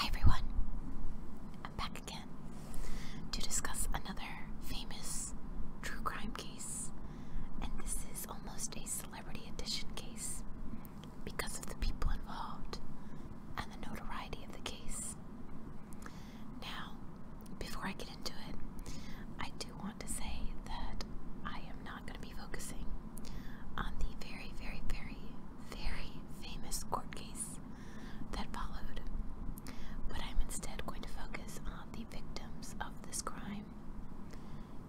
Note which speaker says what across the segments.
Speaker 1: Hi everyone, I'm back again to discuss another famous true crime case, and this is almost a celebrity edition case because of the people involved and the notoriety of the case. Now, before I get into it, I do want to say that I am not going to be focusing on the very, very, very, very famous court case that followed, but I'm instead going to focus on the victims of this crime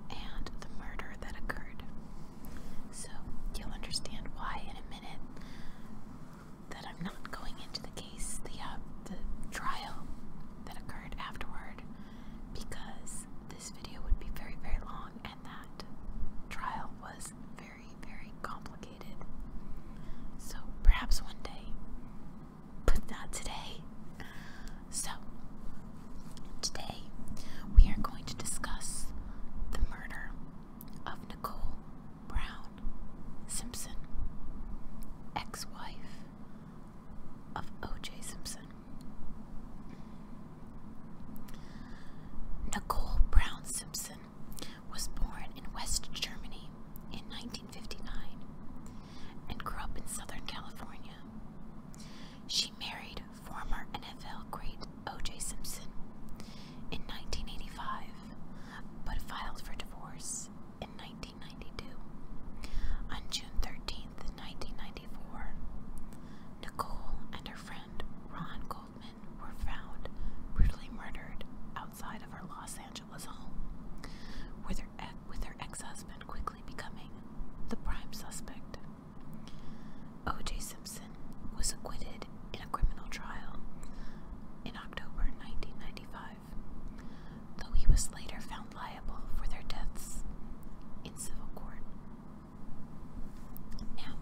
Speaker 1: and the murder that occurred. So you'll understand why in a minute that I'm not going into the the, uh, the trial that occurred afterward because this video would be very, very long and that trial was very, very complicated. So perhaps one day, but not today. So, today we are going to discuss the murder of Nicole Brown Simpson, ex wife of O.J. Simpson. Nicole Brown Simpson was born in West Germany in 1959 and grew up in Southern California. She married former NFL great O.J. Simpson in 1985 but filed for divorce in 19 on June 13th, 1994, Nicole and her friend Ron Goldman were found brutally murdered outside of her Los Angeles home, with her ex-husband quickly becoming the prime suspect. O.J. Simpson was acquitted in a criminal trial in October 1995 though he was later found liable for their deaths in civil court. Now,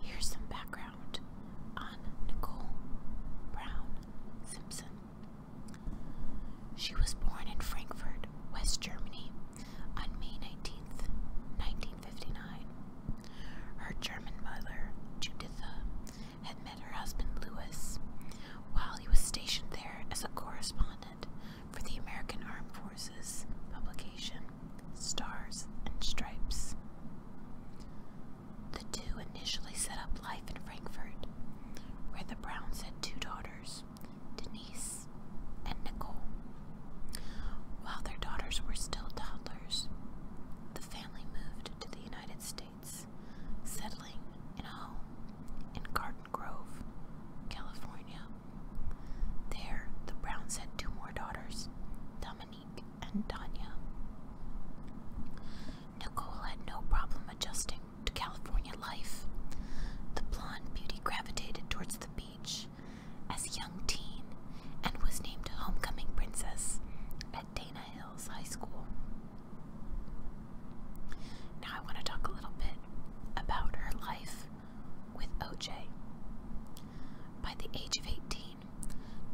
Speaker 1: here's some background on Nicole Brown Simpson. She was born in Frankfurt, West Germany, on May nineteenth, nineteen 1959. Her German mother, Juditha, had met her husband Lewis while he was stationed there as a correspondent for the American Armed Forces publication Stars and Stripes. The two initially set up life in Frankfurt, where the Browns had two daughters, Denise and Nicole. While their daughters were still toddlers, the family moved to the United States settling in a home in Garden Grove, California. There, the Browns had two more daughters, Dominique and Tanya. Nicole had no problem adjusting to California life. The blonde beauty gravitated towards the beach as a young teen and was named Homecoming Princess at Dana Hills High School. Now, I want to talk a little bit about her life with OJ. By the age of 18,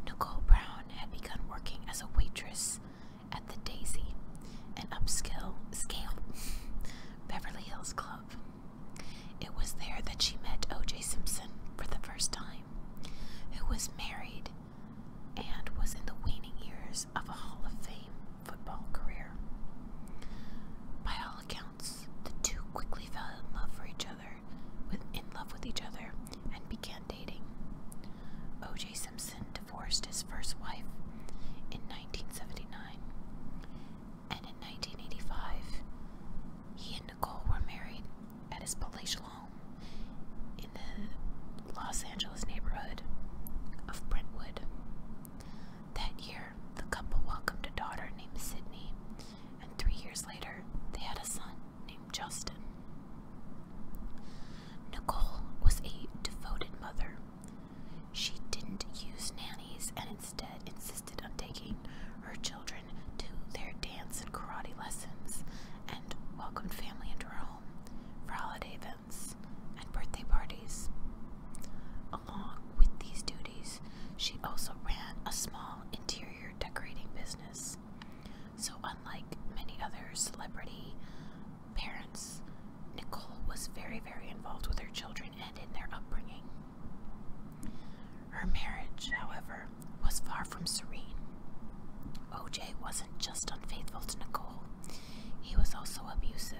Speaker 1: Nicole Brown had begun working as a waitress at the Daisy, an upscale scale Beverly Hills club. It was there that she met OJ Simpson for the first time, who was married and was in the waning years of a Hall of Fame football career. By all accounts, the two quickly fell in love for each other, in love with each other, and began dating. O.J. Simpson divorced his first wife in 1979, and in 1985, he and Nicole were married at his palatial home in the Los Angeles neighborhood of Brentwood. That year, the couple welcomed a daughter named Sydney, and three years later, they had a son named Justin. Nicole was a devoted mother. She didn't use nannies and instead insisted on taking her children to their dance and karate lessons and welcomed family into her home for holiday events and birthday parties. Along with these duties, she also ran a small interior decorating business. So, unlike many other celebrity parents, Nicole was very, very involved with her children and in their upbringing. Her marriage, however, was far from serene. OJ wasn't just unfaithful to Nicole, he was also abusive.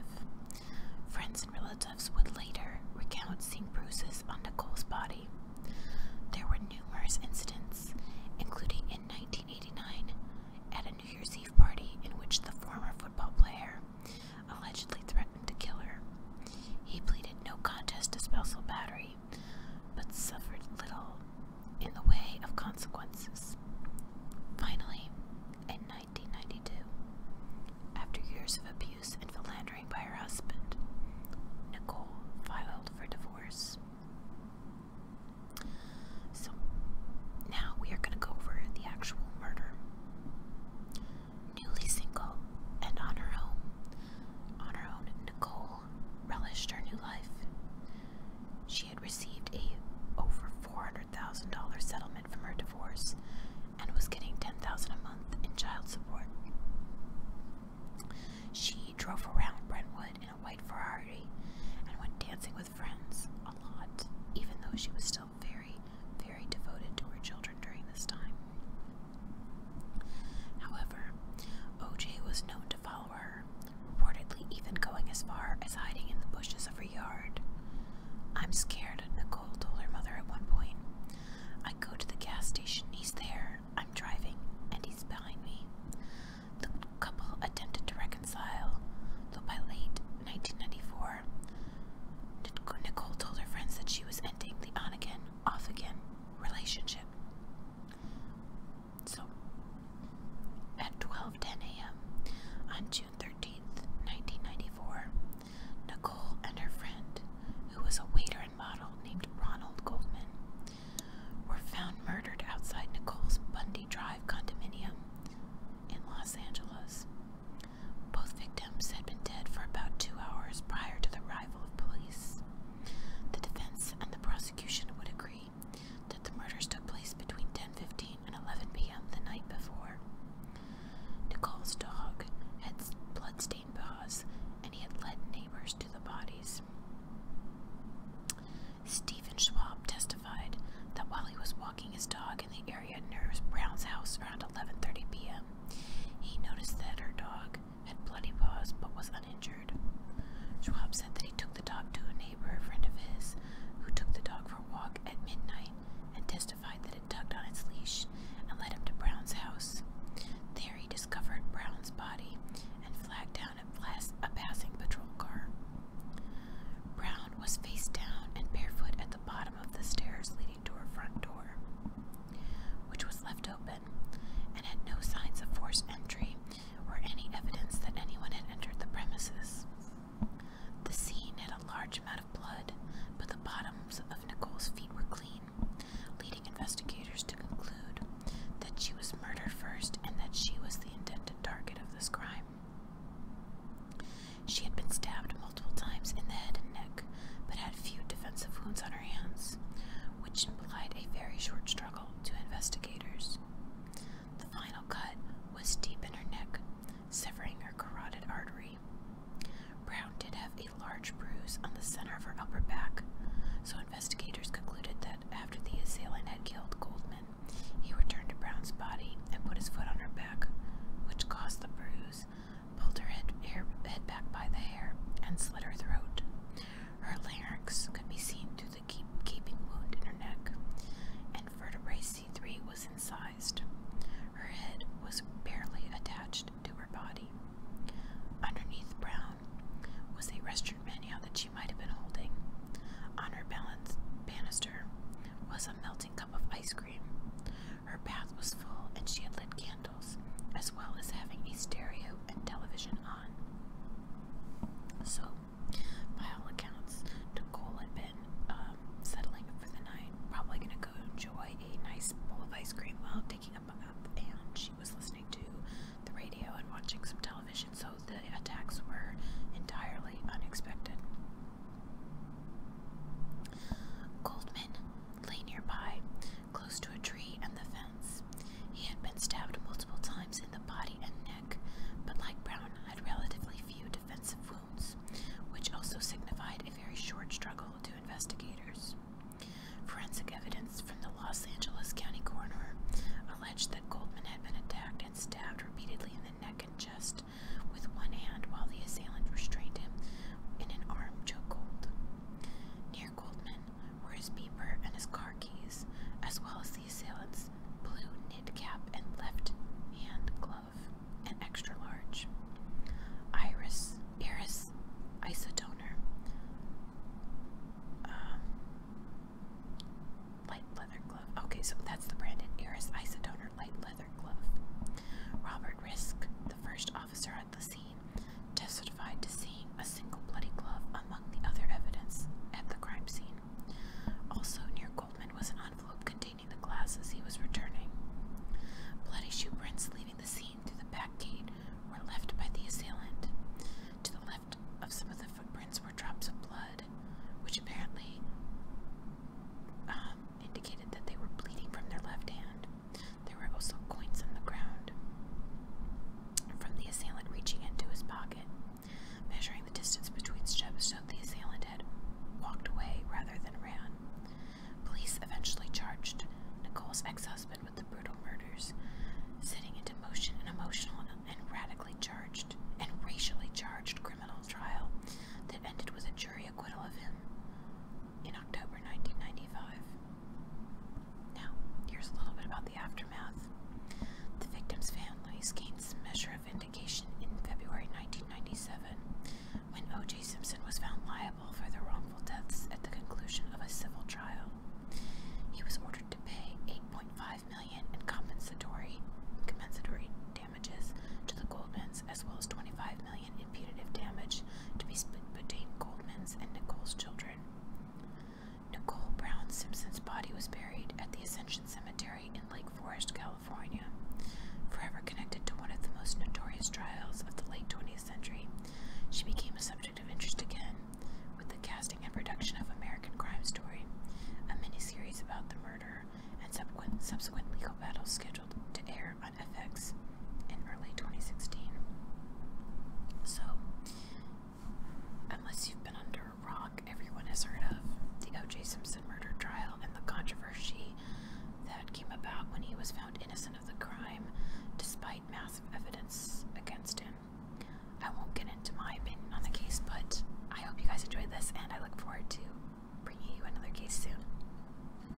Speaker 1: Friends and relatives would later recount seeing bruises on Nicole's body. There were numerous incidents, including in 1989 at a New Year's Eve party in which the former football player allegedly threatened to kill her. He pleaded no contest to spousal battery but suffered little in the way of consequences. Finally, in 1992, after years of abuse and philandering by her husband, Nicole filed for divorce. So, now we are going to go over the actual murder. Newly single and on her own, on her own, Nicole relished her new life. She had received a over $400,000 settlement from her divorce and was getting $10,000 a month in child support. She drove around Brentwood in a white Ferrari and went dancing with friends a lot, even though she was still very, very devoted to her children during this time. However, O.J. was known to follow her, reportedly even going as far as hiding in the bushes of her yard. I'm scared, Nicole told her mother at one point. I go to the gas station, he's there, I'm driving, and he's behind me. The couple attempted to reconcile, though by late 1994, Nicole told her friends that she was ending the on again, off again relationship. So, at 12:10 a.m. on June 13th, 1994, Nicole and her friend, who was a waiter and model named Ronald Goldman, were found murdered outside Nicole's Bundy Drive condominium in Los Angeles. Both victims had been dead for about two hours prior to the arrival of police. The defense and the prosecution would agree that the murders took place between 10:15 and 11 p.m. the night before. Nicole's dog had bloodstained paws, and he had led neighbors to the bodies. Stephen Schwab testified that while he was walking his dog in the area near Brown's house around 11:30 p.m., he noticed that her dog, had bloody paws but was uninjured. Schwab said that he took the dog to a neighbor, a friend of his, who took the dog for a walk at midnight and testified that it tugged on its leash and led him to Brown's house. There he discovered Brown's body and flagged down a, a passing patrol car. Brown was face down and barefoot at the bottom of the stairs leading to her front door, which was left open and had no signs of forced entry or any evidence that anyone had entered the premises. The scene had a large amount of blood, but the bottoms of Nicole's feet were clean, leading investigators to conclude that she was murdered first and that she was the intended target of this crime. She had been stabbed multiple times in the head and neck, but had few defensive wounds on her hands which implied a very short struggle to investigators. The final cut was deep in her neck, severing her carotid artery. Brown did have a large bruise on the center of her upper back, so investigators concluded that after the assailant had killed Goldman, he returned to Brown's body and put his foot on her back, which caused the bruise, pulled her head, head back by the hair, and slit her throat. Her larynx could be seen through the keeping wound in her neck, and vertebrae C3 was incised. Her head was barely attached to her body. Underneath Brown was a restaurant menu that she might have been holding. On her balance, banister was a melting cup of ice cream. Her bath was full, and she had lit candles as well as having a stereo and television on. So, by all accounts, Nicole had been um, settling for the night, probably going to go enjoy a nice bowl of ice cream while taking a bath, and she was listening to the radio and watching some television, so the attacks were entirely unexpected. Goldman lay nearby, close to a tree and the fence. He had been stabbed multiple times in the body and neck, but like Brown, had relatively few defensive wounds, which also signified a very short struggle to investigators. Forensic evidence from the Los Angeles County coroner alleged that Goldman had been attacked and stabbed repeatedly in the neck and chest with one hand while the assailant restrained him in an arm chokehold. Near Goldman were his beeper and his car keys, as well as the assailant's blue knit cap and left hand glove, an extra large. Iris, Iris Isotoner. Um, light leather glove. Okay, so that's the brand Iris Isotoner light leather glove. Robert Risk, the first officer at the scene, testified to seeing a single bloody glove among the other evidence at the crime scene. Also near Goldman was an envelope containing the glasses he was returning. Bloody shoe prints leaving the scene through the back gate were left by the assailant. To the left of some of the footprints were drops of blood, which apparently um, indicated that they were bleeding from their left hand. There were also coins on the ground from the assailant reaching into his pocket. Measuring the distance between steps showed the assailant had walked away rather than ran. Police eventually charged Nicole's ex-husband with the brutal murders, setting into motion an emotionally and radically charged and racially charged criminal trial that ended with a jury acquittal of him in October 1995. Now, here's a little bit about the aftermath. The victims' families gained some measure of vindication in February 1997 when O.J. Simpson was found liable for the wrongful deaths at the conclusion of a civil trial. He was ordered to pay $8.5 million in compensatory, compensatory damages to the Goldmans as well as $25 million in punitive damage to be split between Goldman's and Nicole's children. Nicole Brown Simpson's body was buried at the Ascension Cemetery in Lake Forest, California, forever connected to one of the most notorious trials of the late 20th century. She became a subject of interest again with the casting and production of American Crime Story, a miniseries about the murder and subsequent legal battles scheduled to air on FX in early 2016. So, unless you've been under a rock, everyone has heard of the O.J. Simpson murder trial and the controversy that came about when he was found innocent of the crime despite massive evidence against him. I won't get into my opinion on the case, but I hope you guys enjoyed this and I look forward to bringing you another case soon.